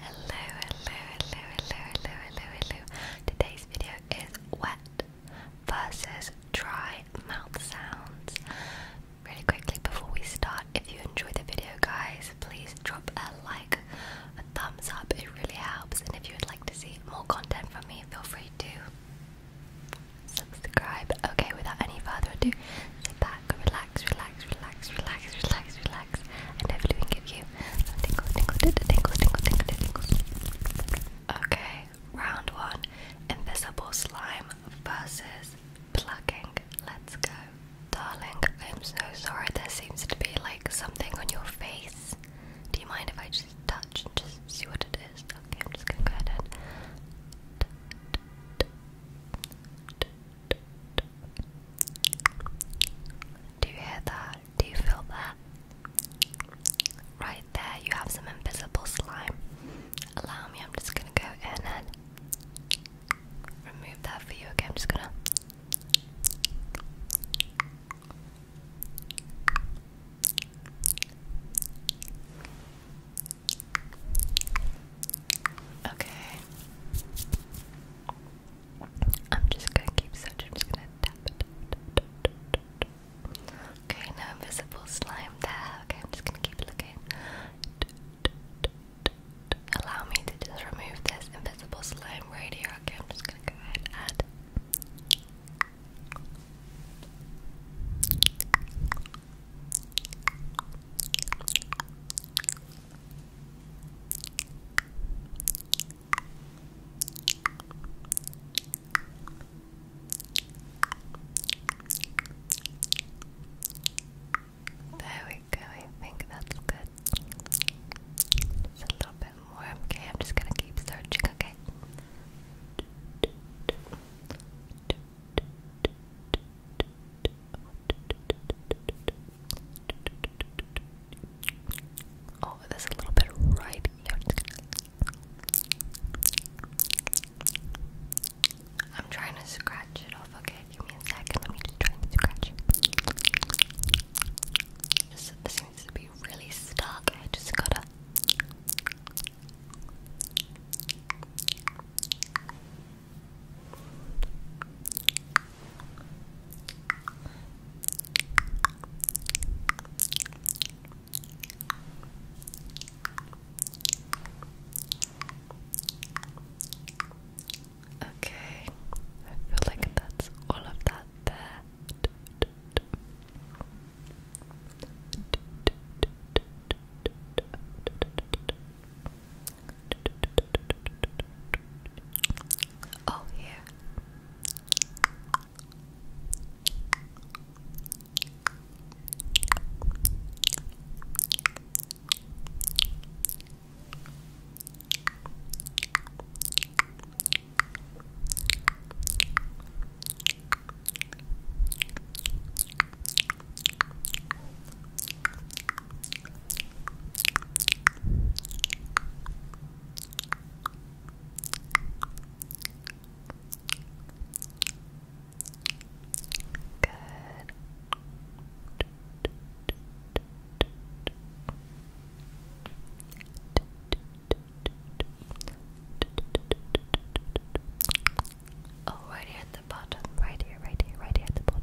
Hello, hello, hello, hello, hello, hello, hello. Today's video is wet versus dry mouth sounds. Really quickly before we start, if you enjoy the video, guys, please drop a like, a thumbs up, it really helps. And if you would like to see more content from me, feel free to subscribe. Okay, without any further ado, sit back, relax, relax, relax, relax, relax, relax. I Okay, round one invisible slime versus plucking. Let's go. Darling, I'm so sorry. There seems to be like something on your face. Do you mind if I just touch and just see what it is? Okay, I'm just gonna go ahead and. Do you hear that? Do you feel that? Right there, you have some invisible slime. Allow me, I'm just gonna go in and remove that for you. Okay, I'm just gonna. Okay. I'm just gonna keep searching. I'm just gonna tap Okay, no invisible slime there. Okay, I'm just gonna keep looking. Allow me to just remove this invisible slime right here. Okay, I'm just gonna go ahead and there we go, I think that's good. a little bit more. Okay, I'm just gonna keep searching, okay? Oh, there's a little bit right I'm trying to scratch it off. Okay, give me a second. Let me just try to scratch. Just, this seems to be really stuck. I just gotta. Okay, I feel like that's all of that there. Oh, here. Oh, right here at the bottom, right here, right here, right here at the bottom.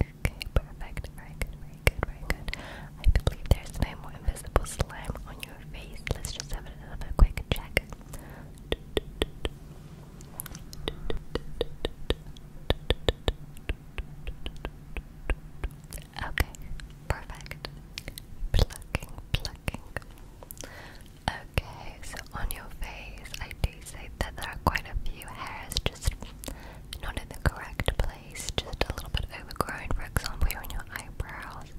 Okay, perfect. Very good, very good, very good. I believe there's no more invisible slime on your face. Let's just have another quick check. Okay, perfect. Plucking, plucking. Okay, so on your face, I do see that there are quite a few hairs just not in the correct place, just a little bit overgrown, for example, here on your eyebrows,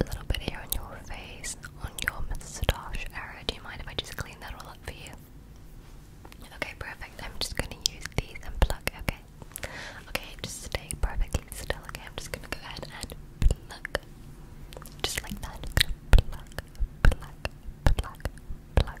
a little bit here on your face, on your moustache area. Do you mind if I just clean that all up for you? Okay, perfect. I'm just gonna use these and pluck, okay? Okay, just stay perfectly still, okay? I'm just gonna go ahead and pluck. Just like that. Pluck, pluck, pluck, pluck, pluck.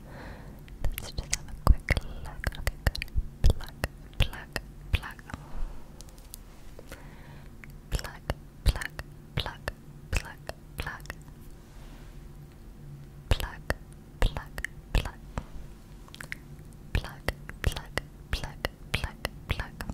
Let's just have a quick look. Okay, good. Pluck, pluck, pluck. Pluck, pluck, pluck, pluck, pluck. Pluck, pluck, pluck. Pluck, pluck, pluck, pluck, pluck. Pluck, pluck. Pluck,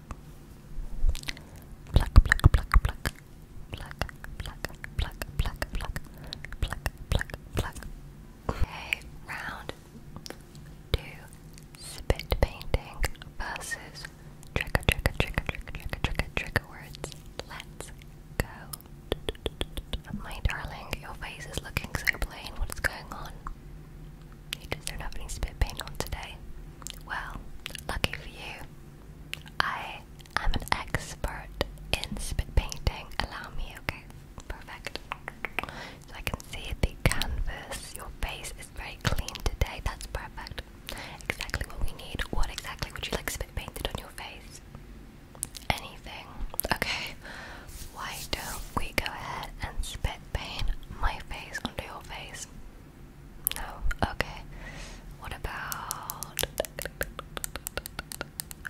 Pluck, pluck, pluck, pluck. Pluck, pluck, pluck, pluck, pluck. Pluck, pluck, pluck. Okay, round two. Spit painting versus trigger, trigger, trigger, trigger, trigger, trigger, trigger words. Let's go. My darling, your face is looking so plain. What is going on? You just don't have any spit paint on today. Well, lucky for you, I am an expert in spit painting. Allow me, okay? Perfect. So I can see the canvas. Your face is very clean today. That's perfect. Exactly what we need. What exactly would you like spit painted on your face? Anything. Okay. Why don't we go ahead and spit paint my face onto your face? No? Oh, okay. What about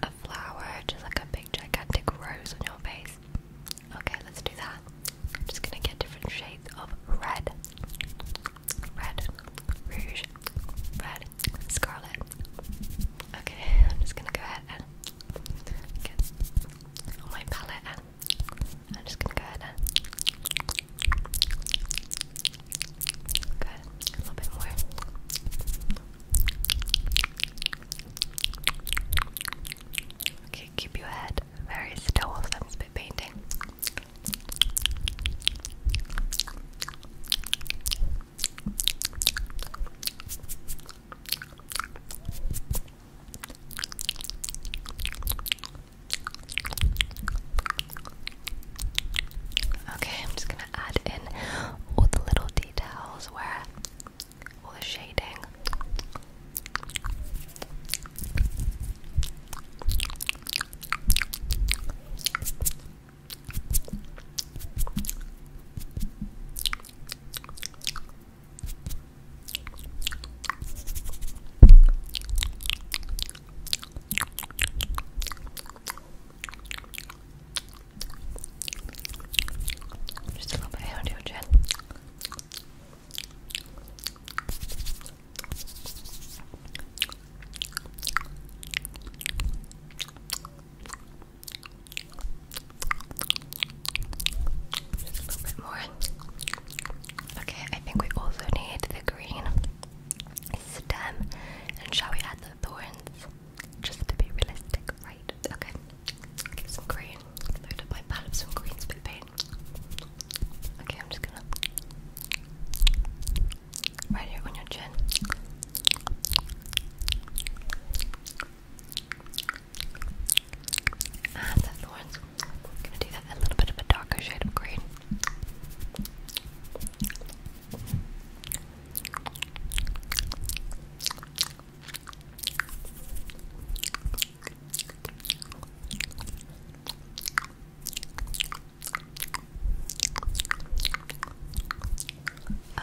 a flower, just like a big gigantic rose on your face? Okay, let's do that. I'm just gonna get different shades of red, red, rouge, red, scarlet. Okay, I'm just gonna go ahead and get on my palette and I'm just gonna go ahead and a little bit more. Okay, keep your head very still while I'm spit painting. Okay, I'm just gonna add in all the little details where all the shading. Just a little bit out of your Just a little bit more. Okay, I think we also need the green stem. And shall we add the thorns? Just to be realistic, right? Okay. Get some green. Load up my palette of some green spit paint. Okay, I'm just gonna right here on your chin. And I'm gonna do that a little bit of a darker shade of green.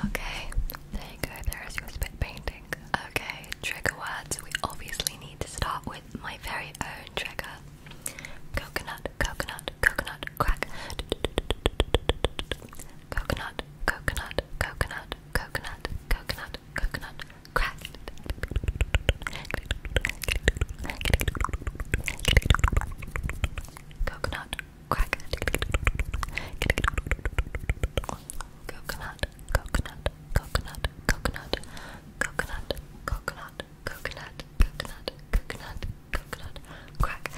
Okay, there you go, there is your spit painting. Okay, trigger words. We obviously need to start with my very own trigger. Coconut, coconut, coconut, crack. Coconut, coconut, coconut, coconut, coconut, coconut, crack. Coconut, crack. Coconut, coconut, coconut, coconut, coconut, coconut, coconut, coconut, coconut, coconut, crack.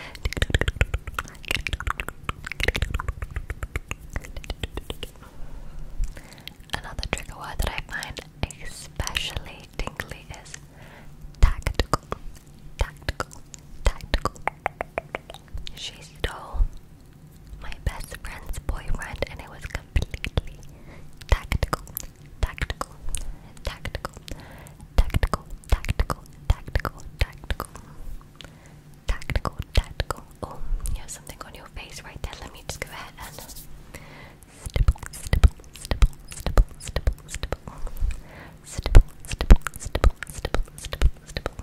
Another trigger word that I find especially tingly is tactical, tactical, tactical. She stole my best friend's boyfriend, and it was completely tactical, tactical, tactical, tactical, tactical, tactical, tactical, tactical, tactical. Oh, you have something on your face right there. Let me just go ahead and stipple, stipple, stipple, stipple, stipple, stipple, stipple, stipple, stipple, stipple, stipple,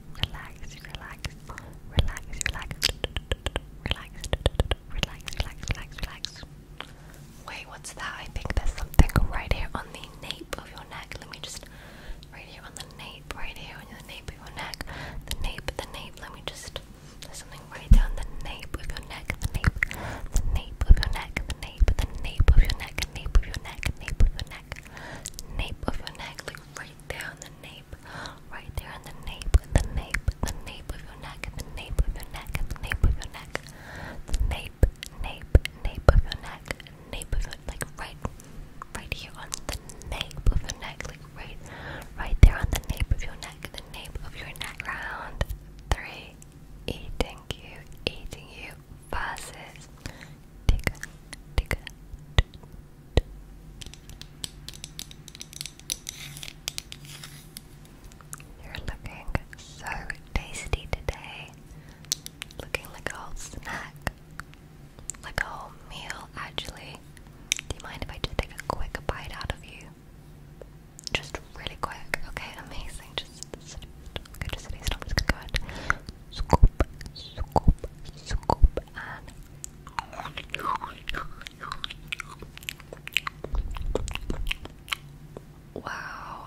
relax, relax, relax, relax, relax, relax, relax, relax, relax. Wait, what's that? I think there's something right here on the nape of your neck. Let me just right here on the nape, right here on the nape of your neck. The nape, the nape, let me just there's something right down the nape of your neck, the nape, the nape of your neck, the nape, the nape of your neck, nape of your neck, nape of your neck, nape of your neck, like right there on the nape right there in the nape, the nape, the nape of your neck, the nape of your neck, the nape of your neck, the nape, nape, nape of your neck, nape of your like right, right here on the nape of your neck, like right, right there on the nape of your neck, the nape of your neck. Round three, eating you, eating you, versus tick, tick, you're looking so tasty today. Looking like a whole snack. Like a whole meal, actually. Do you mind if I just take a quick bite out of you? Just really quick. Okay, amazing. Just, okay, just stop. Just scoop, scoop, scoop, wow,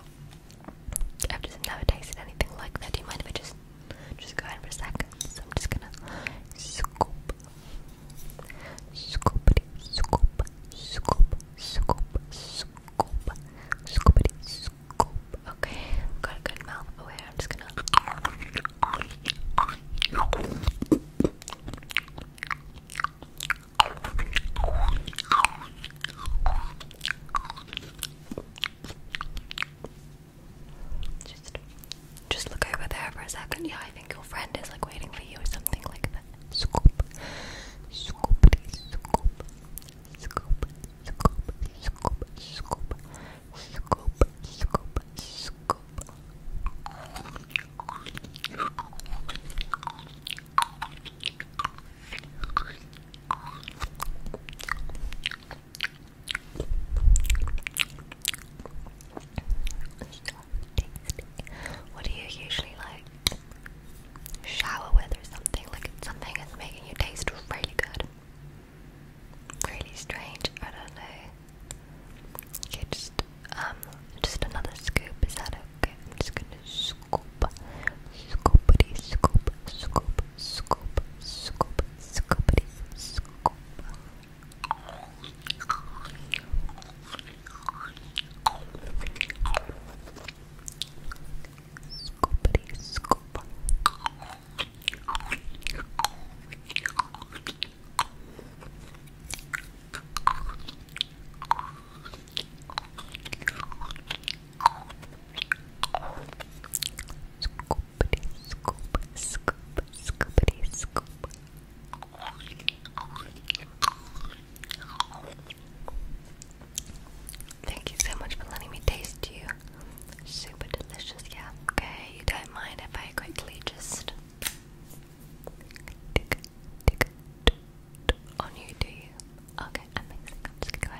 I've just never tasted anything like that. Do you mind if I just just go in for a second? just gonna scoop, scoopity, scoop, scoop, scoop, scoop, scoopity, scoop. Okay, got a good mouth. Oh, wait, I'm just gonna. just look over there for a second. Yeah, I think your friend is like waiting for you or something like that. Scoop, scoop, scoop, scoop, scoop, scoop, scoop. Scoop, scoop, scoop. What do you usually like? Shower with or something? Like something that's making you taste really good. Really strange, I don't know. Okay, just um just another scoop, is that okay? I'm just gonna scoop scoopity scoop scoop scoop scoop scoopity scoop Scoopity scoop Scoopity, scoop, scoopity, scoop. Thank you so much for letting me taste you. Super delicious, yeah. Okay, you don't mind if I quickly just on you, do you? Okay, I'm just going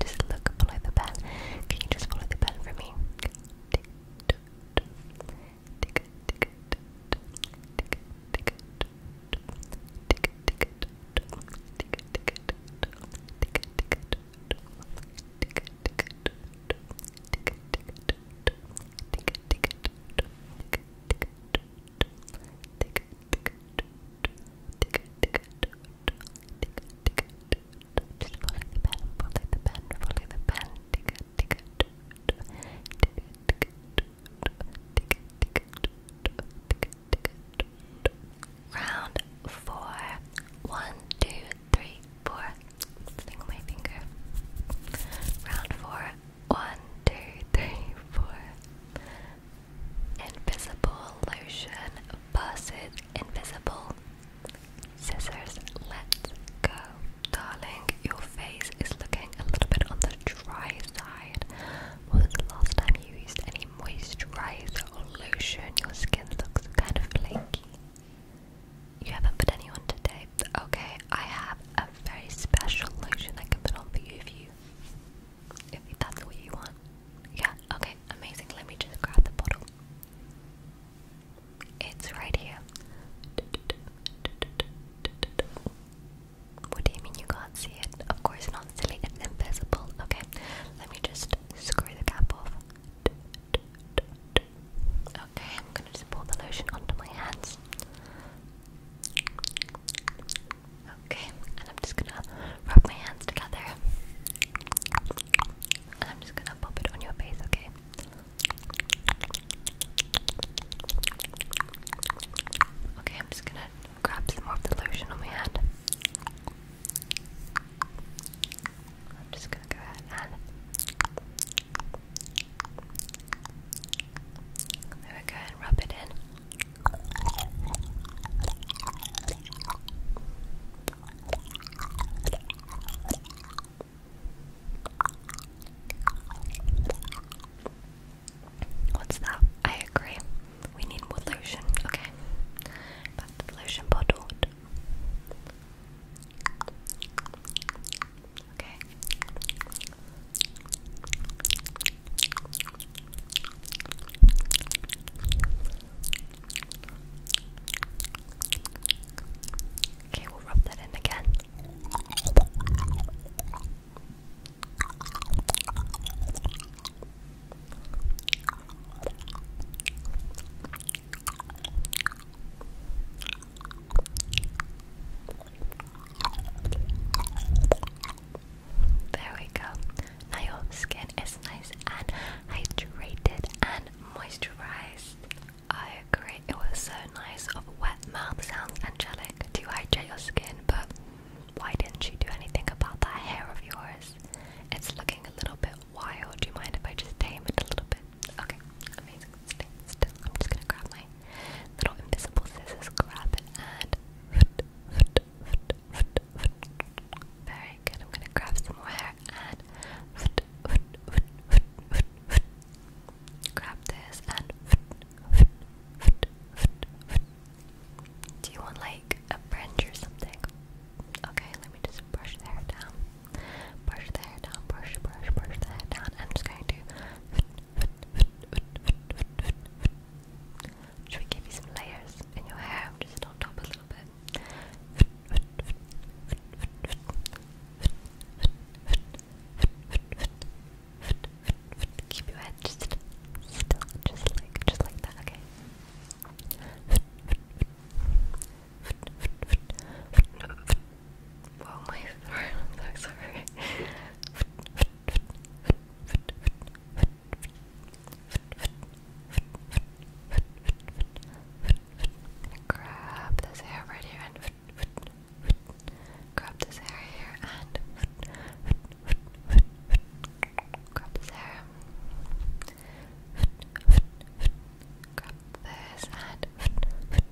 Just look, follow the pen. Can you just follow the pen for me? Just follow the pen, follow the pen, follow the pen. Round four. One, two, three, four. Sling my finger. Round four. One, Invisible lotion versus invisible scissors. Let's go. Darling, your face is looking a little bit on the dry side. When was the last time you used any moisturizer or lotion? Your skin looks kind of flaky. You haven't put any on today? Okay, I have a very special lotion I can put on for you if that's what you want. Yeah, okay, amazing. Let me just grab the bottle. It's right here. What do you mean you can't see it? Of course not, silly, it's invisible. Okay, let me just screw the cap off. Okay, I'm gonna just pour the lotion onto my hands. Okay, and I'm just gonna rub my hands together. And I'm just gonna pop it on your face, okay? Okay, I'm just gonna grab some more of the lotion on my hand. I'm just gonna go ahead and. There we and rub it in. What's that? I agree. We need more lotion. Okay. lotion bottle. Okay. Okay, we'll rub that in again. There we go. Now your skin is nice and hydrated and moisturized. I agree. It was so nice. Of wet mouth sounds angelic to hydrate your skin, but why didn't you do anything about that hair of yours? It's looking a little bit wild. Do you mind if I just tame it a little bit? Okay, amazing. I'm just gonna grab my little invisible scissors, grab it, and very good. I'm gonna grab some more hair and grab this and do you want like a fringe or something? Okay, let me just brush the hair down. Brush the hair down, brush, brush, brush the hair down. I'm just going to should we give you some layers in your hair? Just on top a little bit. Keep your head just like, just like that. Okay. Well, my so sorry. Grab this hair right here and grab this hair here and grab this hair. Grab this and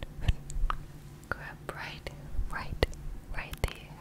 grab right, right, right there.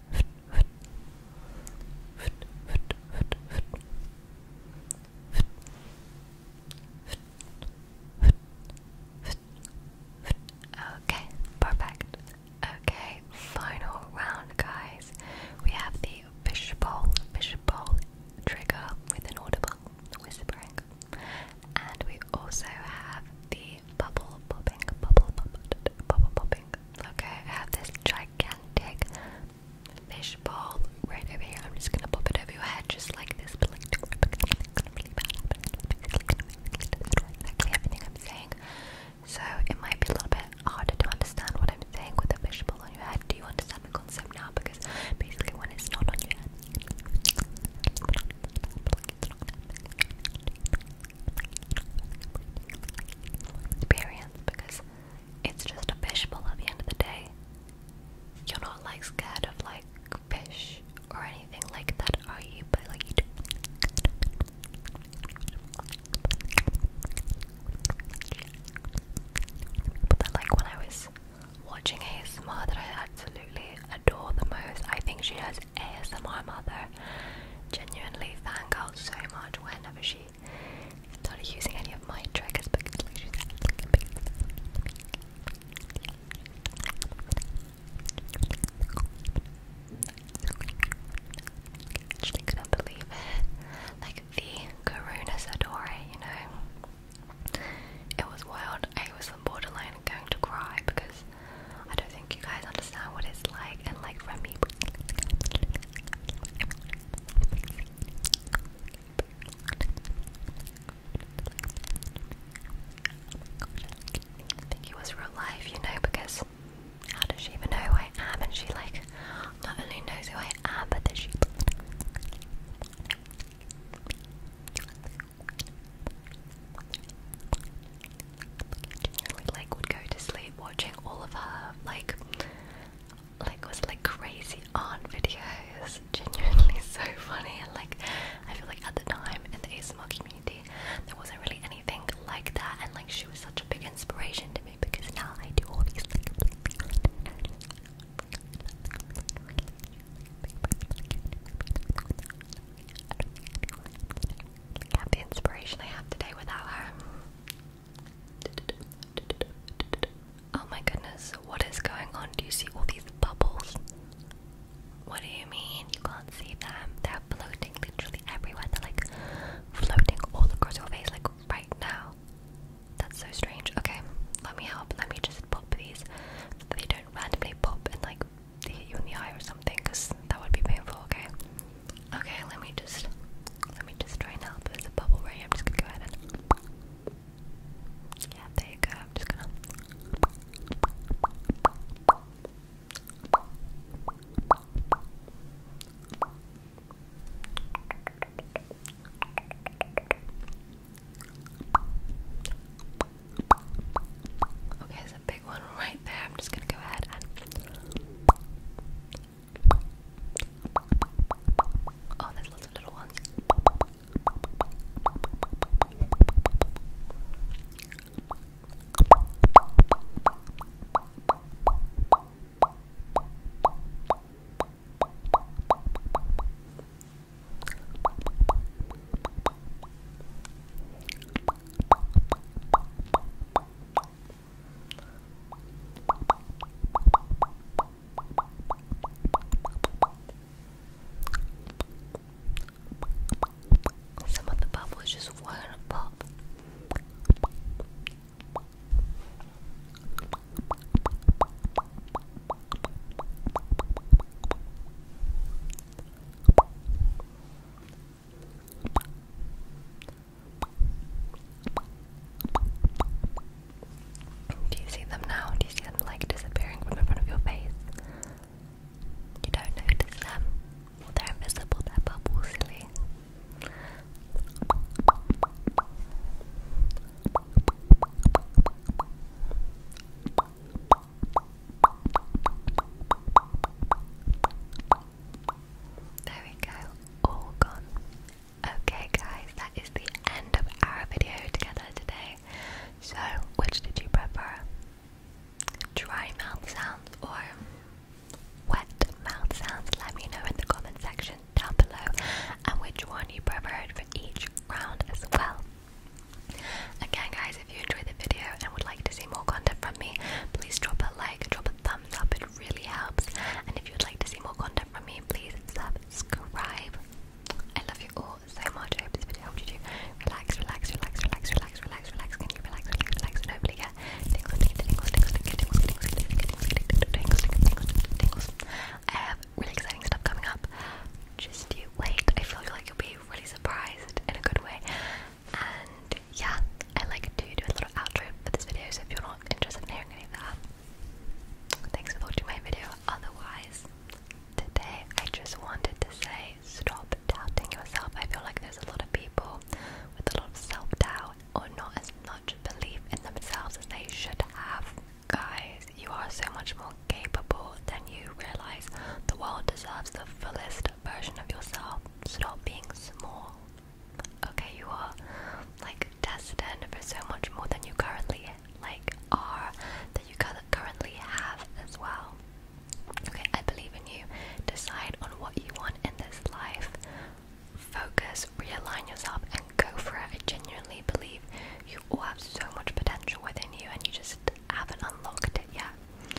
Okay, perfect. Okay, final round, guys. We have the fishbowl, fishbowl trigger with an audible whispering, and we also have the bubble popping, bubble popping, bubble popping. Okay, I have this gigantic fish bowl right over here. I'm just gonna pop it over your head just like this. exactly everything I'm saying. So it might be a little bit harder to understand what I'm saying with a fish on your head. Do you understand the concept now? Because basically, when it's not on your head experience because it's just a fishbowl at the end of the day. You're not like scared of like fish or anything like that, are you? But like you do. But like when I was watching ASMR that I absolutely adore the most, I think she has ASMR mother genuinely fang so much whenever she started using any of my triggers because like she's actually couldn't believe it. Like the Karuna Sadore, you know. It was wild. I was borderline going to cry because I don't think you guys understand what it's like, and like for I think it was real life, you know, because how does she even know who I am? And she like not only knows who I am, but that she generally like would go to sleep watching all of her like like was like crazy aunt videos. Genuinely so funny and like I feel like at the time in the ASMR community there wasn't really anything like that and like she was such a big inspiration to me because now I do all these things have the inspiration I have today without her. Oh my goodness, what is going on? Do you see all these bubbles? What do you mean? You can't see them. They're floating literally everywhere. They're like floating all across your face, like right now. That's so strange. Okay, let me help. Let me just pop these so they don't randomly pop and like they hit you in the eye or something, because that would be painful, okay? Okay, let me just let me just try and help. There's a bubble right I'm just gonna go ahead and Yeah, there you go. just gonna Okay, a big one right there. I'm just gonna go ahead and. Oh, there's lots of little ones. Some of the bubbles just want to pop. Do you see them now? Do you see them like disappearing from in front of your face? You don't notice them. they're invisible, they're bubbles, silly. There we go, all gone. Okay, guys, that is the end of our video together today. So, which did you prefer? Dry mouth sounds or wet mouth sounds? Let me know in the comment section down below and which one you preferred for each round as well. Again guys, if you enjoyed the video and would like to see more content from me, please drop a like, drop a thumbs up, it really helps. And if you'd like to see more content from me, please subscribe. I love you all so much. I hope this video helped you relax, relax, relax, relax, relax, relax, relax, can you relax, relax, relax, and hopefully get tingles, tingles, tingles, tingles, tingles, tingles, tingles, tingles. I have really exciting stuff coming up. Just you wait. I feel like you'll be really surprised in a good way. And yeah, I like to do a little outro for this video, so if you're not interested in hearing any of that, thanks for watching my video. Otherwise, today I just wanted to say stop doubting yourself. I feel like there's a lot of people with a lot of self doubt or not as much belief in themselves as they should have. Guys, you are so much more capable than you realize. The world deserves the fullest version of yourself. Stop being small. Okay, you are like destined for so much more than you currently like are that you currently have as well. Okay, I believe in you. Decide on what you want in this life. Focus, realign yourself, and go for it. I genuinely believe you all have so much potential within you, and you just haven't unlocked it yet.